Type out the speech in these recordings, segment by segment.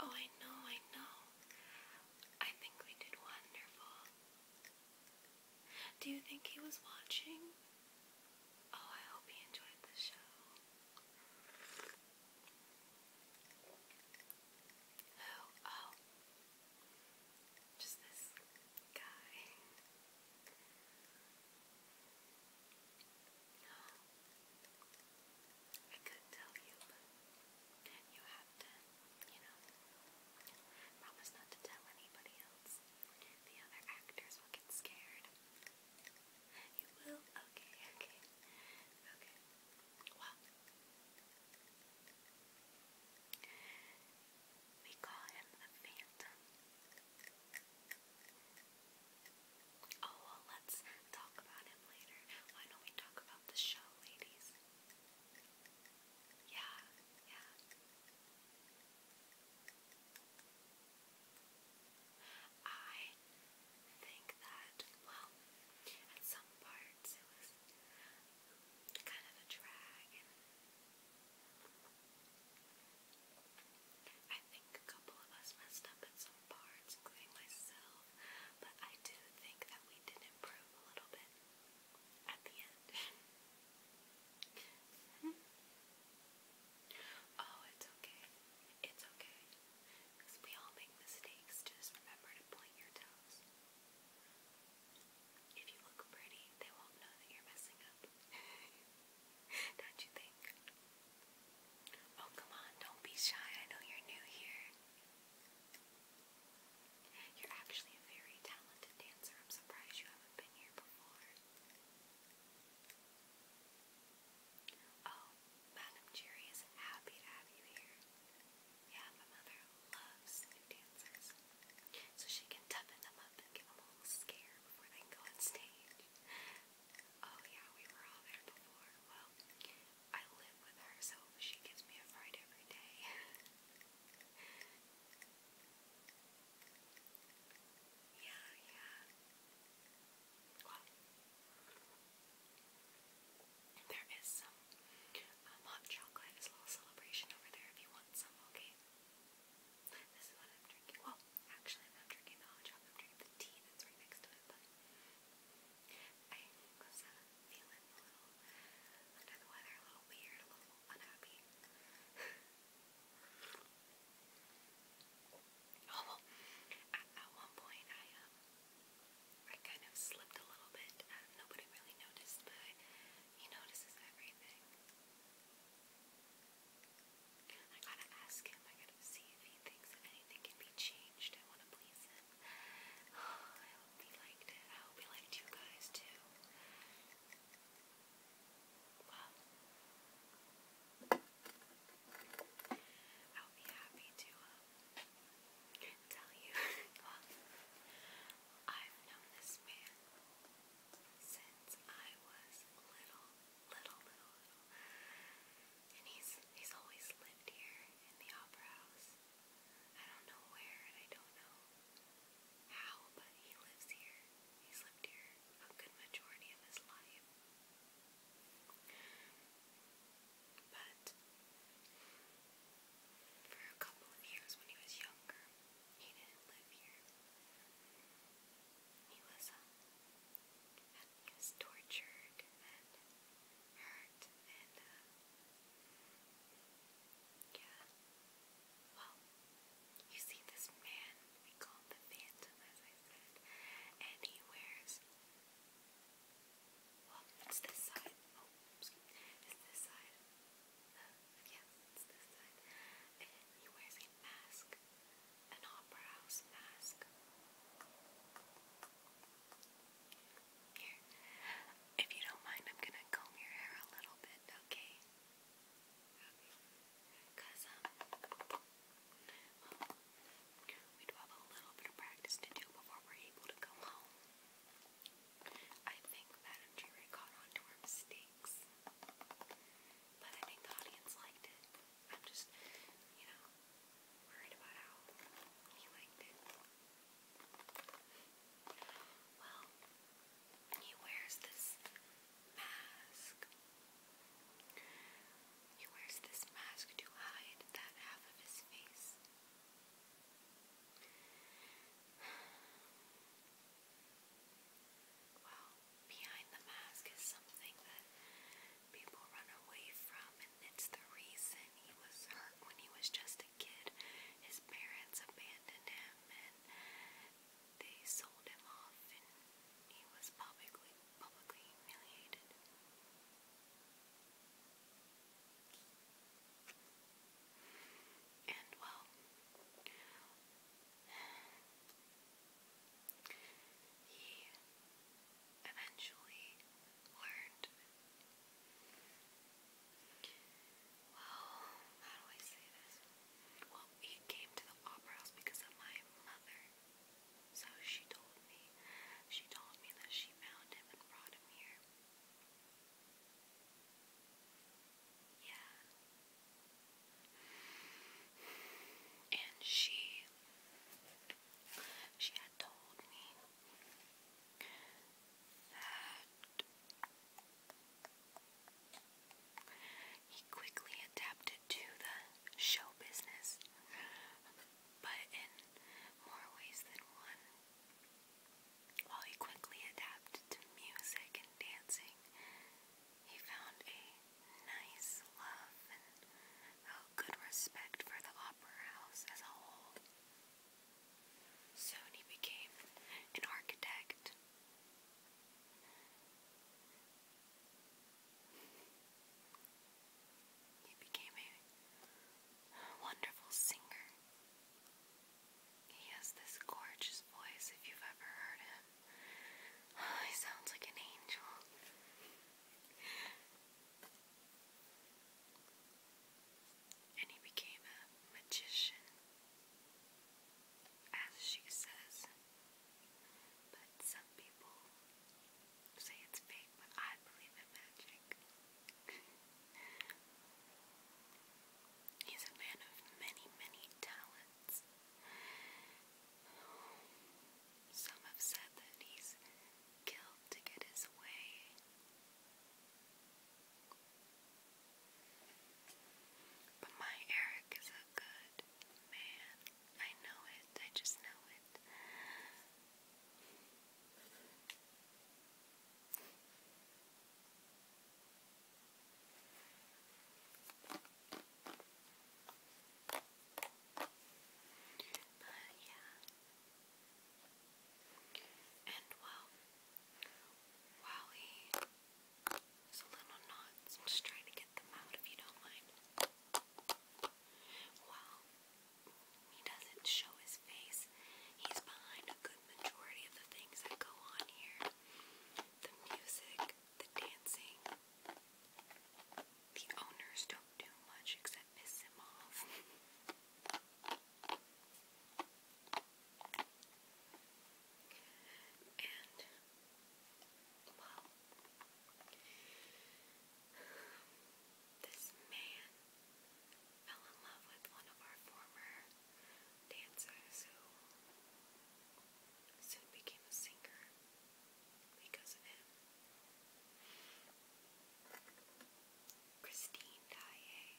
Oh, I know, I know. I think we did wonderful. Do you think he was watching? Oh, I hope he enjoyed the show. Who? Oh, oh. Just this guy. I could tell you, but you have to, you know, promise not to tell anybody else. The other actors will get scared. You will? Okay, okay. Okay. Well, we call him the Phantom. Oh, well, let's talk about him later. Why don't we talk about the show, ladies? Yeah, yeah. I think that, well, at some parts it was kind of a drag. I think a couple of us messed up at some parts, including myself, but I do think that we did improve a little bit at the end. oh, it's okay. It's okay. we all make mistakes. Just remember to point your toes. If you look pretty, they won't know that you're messing up. Don't you think? Oh, come on, don't be shy. I know you're new here. You're actually a very talented dancer. I'm surprised you haven't been here before. Oh, Madam Jerry is happy to have you here. Yeah, my mother loves new dancers. So she can toughen them up and give them a little scare before they go on stage. Oh yeah, we were all there before. Well, I live with her, so she gives me a fright every day. yeah, yeah. there is some um, hot chocolate. There's a little celebration over there if you want some, okay? This is what I'm drinking. Actually, I'm drinking I'm drinking the tea that's right next to it, but I was feeling a little under the weather, a little weird, a little unhappy. Oh, at, one point I, um, I kind of slipped a little bit. Uh, nobody really noticed, but he notices everything. I gotta ask him, I gotta see if he thinks that anything can be changed. I wanna please him. I hope he liked it. I hope he liked you guys too. Well, I'll be happy to um, tell you. I've known this man since I was little little, little, And he's he's always lived here in the opera house. I don't know where I don't know how, but he lives here. He's lived here a good majority of his life. But for a couple of years when he was younger, he didn't live here. He was, tortured and hurt and, uh, yeah. Well, you see this man, we call the Phantom, as I said, and he wears, well, it's this side, oh, excuse me, it's this side. Uh, it's this side. And he wears a mask an opera house mask. Here, if you don't mind, I'm gonna comb your hair a little bit, okay? Okay. we do have a little bit of practice to do before we're able to go home. I think Madame Jury caught on to our mistakes, but I think the audience liked it. I'm just, you know, worried about how he liked Well, he wears this mask. He wears this mask to hide that half of his face. Well, behind the mask is something that people run away from, and it's the reason he was hurt when he was just a kid. His parents abandoned him and they sold him off, and he was publicly publicly humiliated. And well, he eventually learned. Well, how do I say this? Well, he came to the opera house because of my mother. So she told me, she told me that she found him and brought him here. Yeah. And she she had told me that he quickly adapted to the show business, but in more ways than one. While he quickly adapted to music and dancing, he found a nice love a good respect for the opera house as a whole. Soon he became an architect. He became a wonderful singer. He has this gorgeous voice if you've ever heard him. he sounds like an angel. And he became a magician, as she says. But some people say it's fake, but I believe in magic. He's a man of many, many talents some have said that he's killed to get his way. But my Eric is a good man. I know it. I just know it. But yeah. And well, while he a little knots, I'm just trying to get them out if you don't mind. While he doesn't show his face, he's behind a good majority of the things that go on here. The music, the dancing, the owners don't do much except piss him off. and, well, this man fell in love with one of our former dancers who soon became a singer because of him. Christine Daae.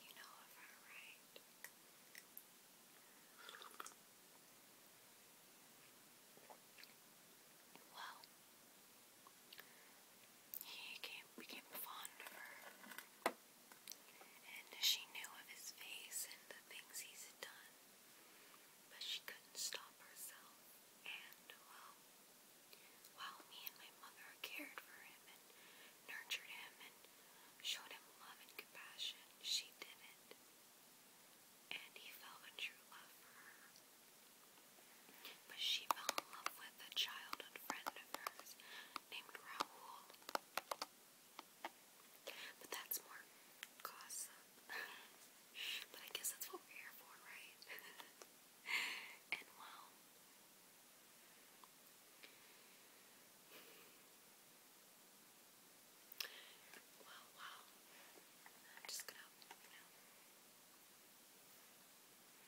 You know of her, right? Well, he came, became fond of her, and she knew of his face and the things he's done. But she couldn't stop herself, and, well, while me and my mother cared for him and nurtured him and showed him love and compassion, she didn't. And he felt a true love for her. But she fell in love with a childhood friend of hers named Raoul. But that's more gossip. but I guess that's what we're here for, right? and wow. Wow, wow. I'm just gonna, you know,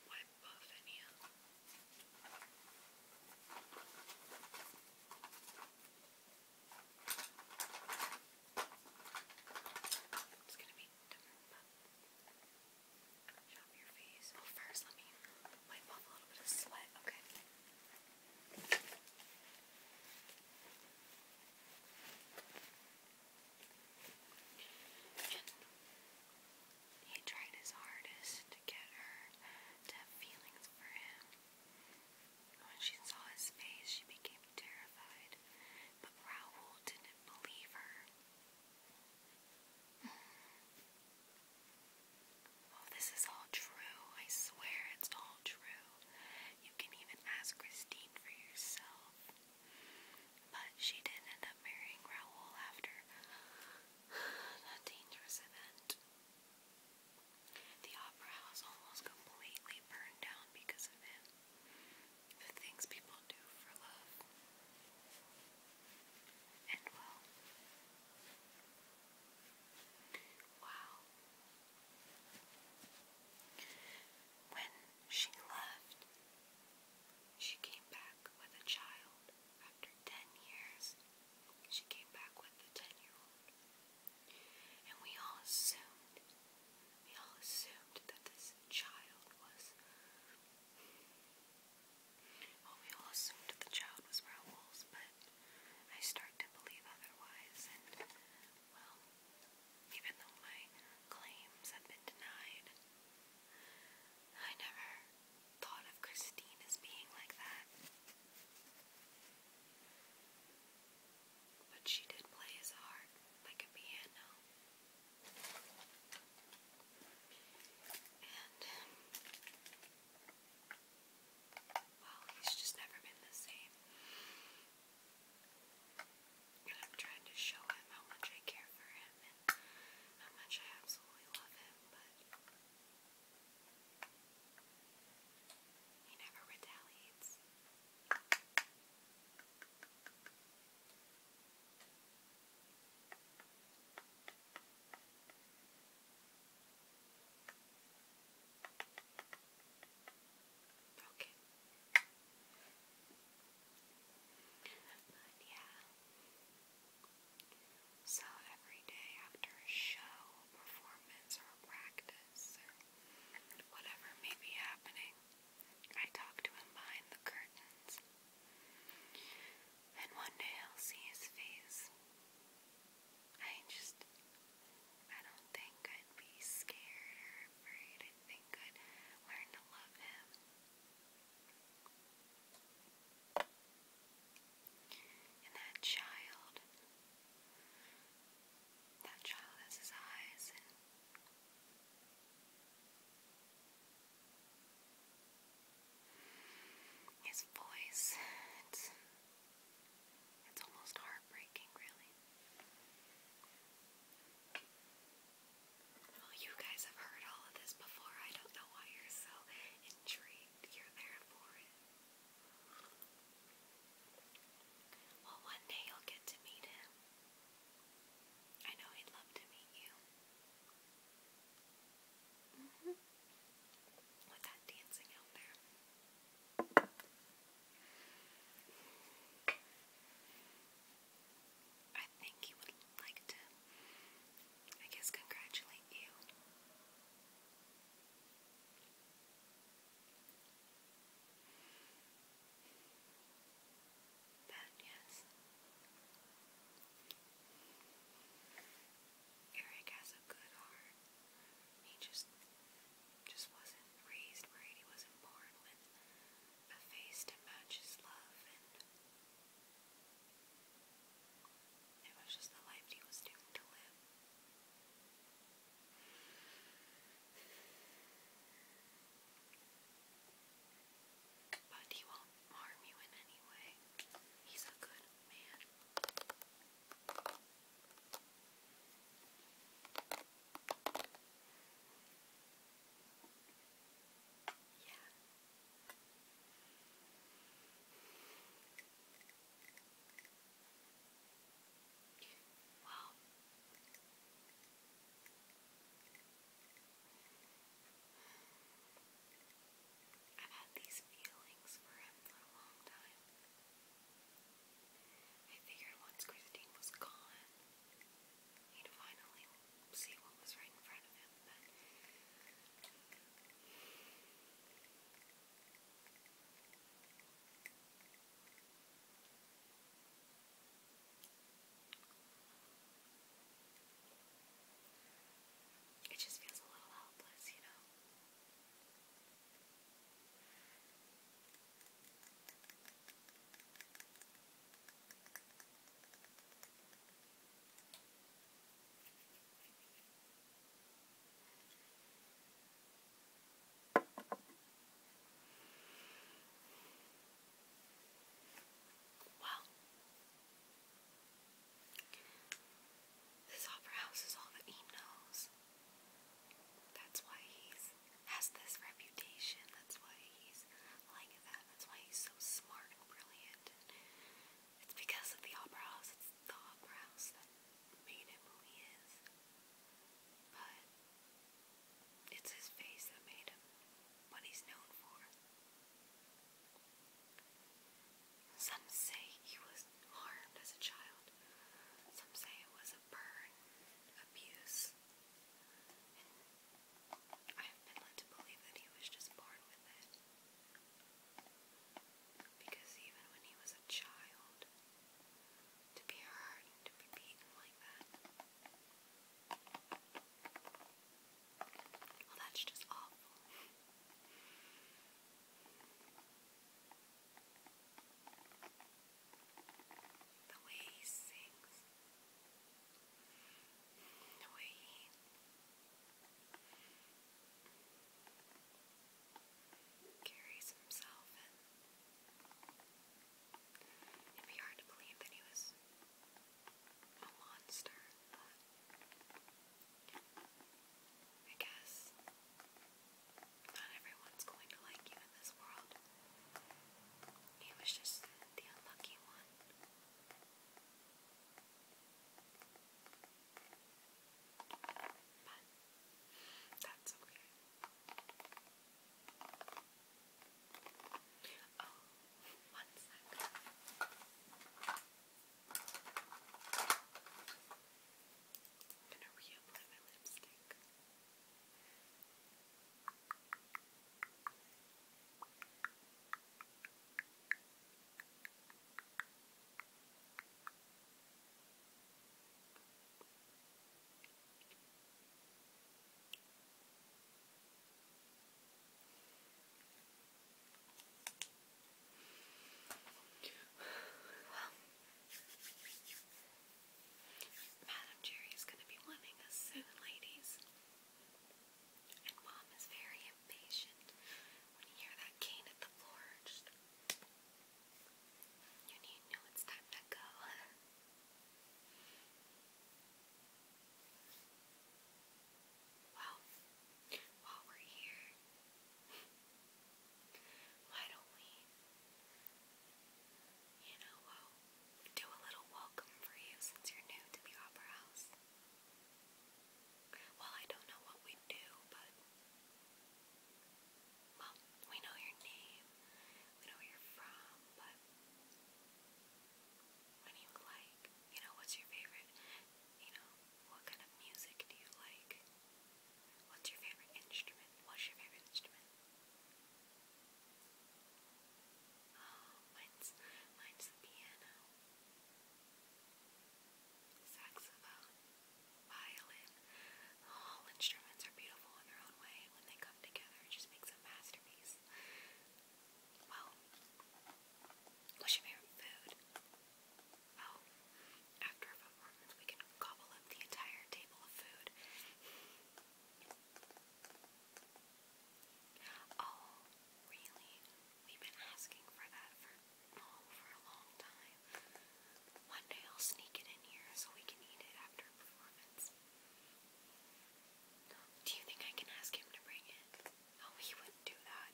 wipe off any of uh, it's gonna be Shop wipe off a little bit of sweat. Okay. he tried his hardest to get her to have feelings for him. When she saw his face, she became terrified, but Raoul didn't believe her. Mm. Oh, this is all true. I swear it's all true. You can even ask Christine for yourself. But she did not end up marrying Raoul after that dangerous event. The opera house almost completely burned down because of him. The things people do for love. And well. Wow. When she left, she came back with a child. After 10 years, she came back with the 10 year old. And we all assumed, we all assumed that this child was, well, we all assumed the child was Raoul's, but I start to believe otherwise, and, well, even though my claims have been denied, I never thought of Christine as being like that. But she did play his heart like a piano. And, well, he's just never been the same. I'm trying to show him how much I care for him and how much I absolutely love him, but he never retaliates. Okay. So every day after a show, performance, or practice, this whatever may be happening. I talk to him behind the curtains. And one day I'll see his face. I just, I don't think I'd be scared or afraid. I think I'd learn to love him. And that child, that child has his eyes his voice. It's, it's almost heartbreaking, really. Well, you guys have heard all of this before. I don't know why you're so intrigued. You're there for it. Well, one day you'll get to meet him. I know he'd love to meet you. Mm-hmm. With that dancing out there. I think he would like to, I guess, congratulate you. Eric has a good heart. He just just wasn't raised right. He wasn't born with a face to match his love, and it was just the life he was doomed to live. But he won't harm you in any way. He's a good man. Yeah. Wow. I've had these feelings for him for a long time. I figured once Christine was gone, he'd finally see what was right in front of him, but it just feels a little helpless, you know. I well, this opera house is all that he knows. That's why he's has this reputation. That's why he's like that. That's why he's so smart and brilliant. It's because of the opera house. It's thought process that made him who he is, but it's his face that made him what he's known for. Some say he was harmed as a child, some say it was a burn, abuse, I have been led to believe that he was just born with it. Because even when he was a child, to be hurt to be beaten like that, well, that's just awful. The way he sings, the way he carries himself, it'd be hard to believe that he was a monster, but I guess not everyone's going to like you in this world. He was just the unlucky one. But that's okay. Oh, one second. I'm gonna reapply my lipstick. Well, Madam Jerry is going to be wanting us soon, ladies. And Mom is very impatient. When you hear that cane at the floor, you need know it's time to go. Well, while we're here, why don't we, you know, do a little welcome for you since you're new to the Opera House? Well, I don't know what we do, but well, we know your name, we know where you're from, but what you like? You know, what's your favorite? You know, what kind of music do you like? What's your favorite instrument? What's your favorite instrument? Oh, mine's, mine's the piano saxophone, violin. All instruments are beautiful in their own way, and when they come together, just makes a masterpiece. Well, what's your favorite food? Oh, after performance, we can gobble up the entire table of food. Oh, really? We've been asking for that for for a long time. One day I'll sneak it in here so we can eat it after a performance. Do you think I can ask him to bring it? Oh, he wouldn't do that.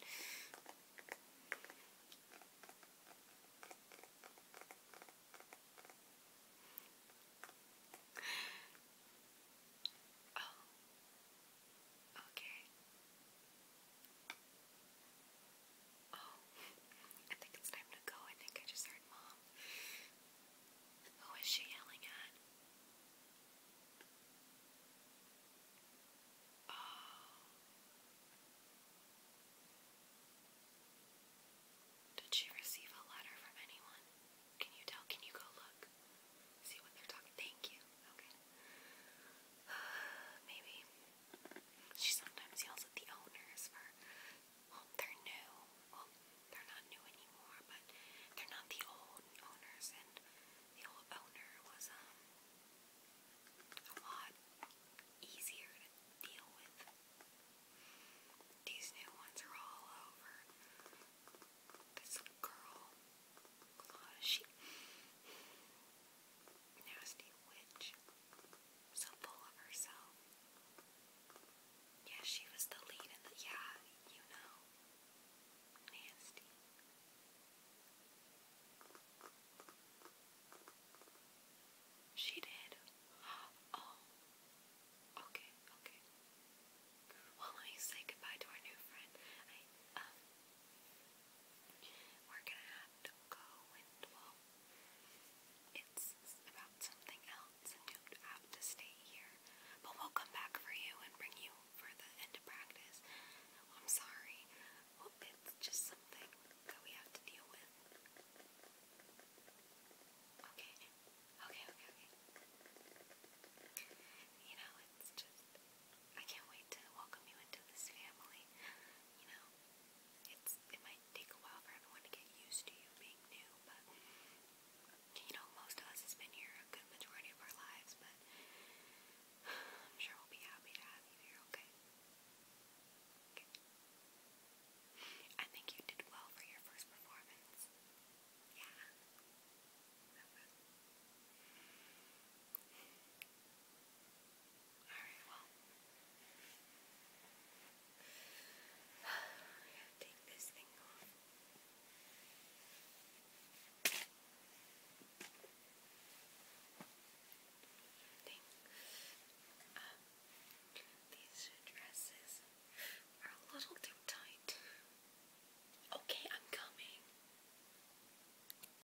Oh, okay. Oh, I think it's time to go. I think I just heard Mom. Who is she yelling at? Oh. Did she receive a letter from anyone? Can you tell? Can you go look? See what they're talking? Thank you. Okay. Maybe. She sometimes yells at the owners for, they're new. Well, they're not new anymore, but they're not the old owners. And the old owner was um, a lot easier to deal with. These new ones are all over. This girl, she nasty witch, so full of herself. Yeah, she was the lead in the. Yeah, you know. Nasty. She did. Oh. Okay, okay. Well, let me say goodbye to our new friend. Um, we're gonna have to go and well, it's about something else, and you have to stay here. But we'll come back for you and bring you for the end of practice. I'm sorry. it's just something that we have to deal with. okay, okay, okay. You know, it's just I can't wait to welcome you into this family. You know, it's it might take a while for everyone to get used to you being new, but you know, most of us has been here a good majority of our lives, but I'm sure we'll be happy to have you here, okay? I think you did well for your first performance. Yeah. Alright, well. I have to take this thing off. these dresses are a little too tight. Okay, I'm coming.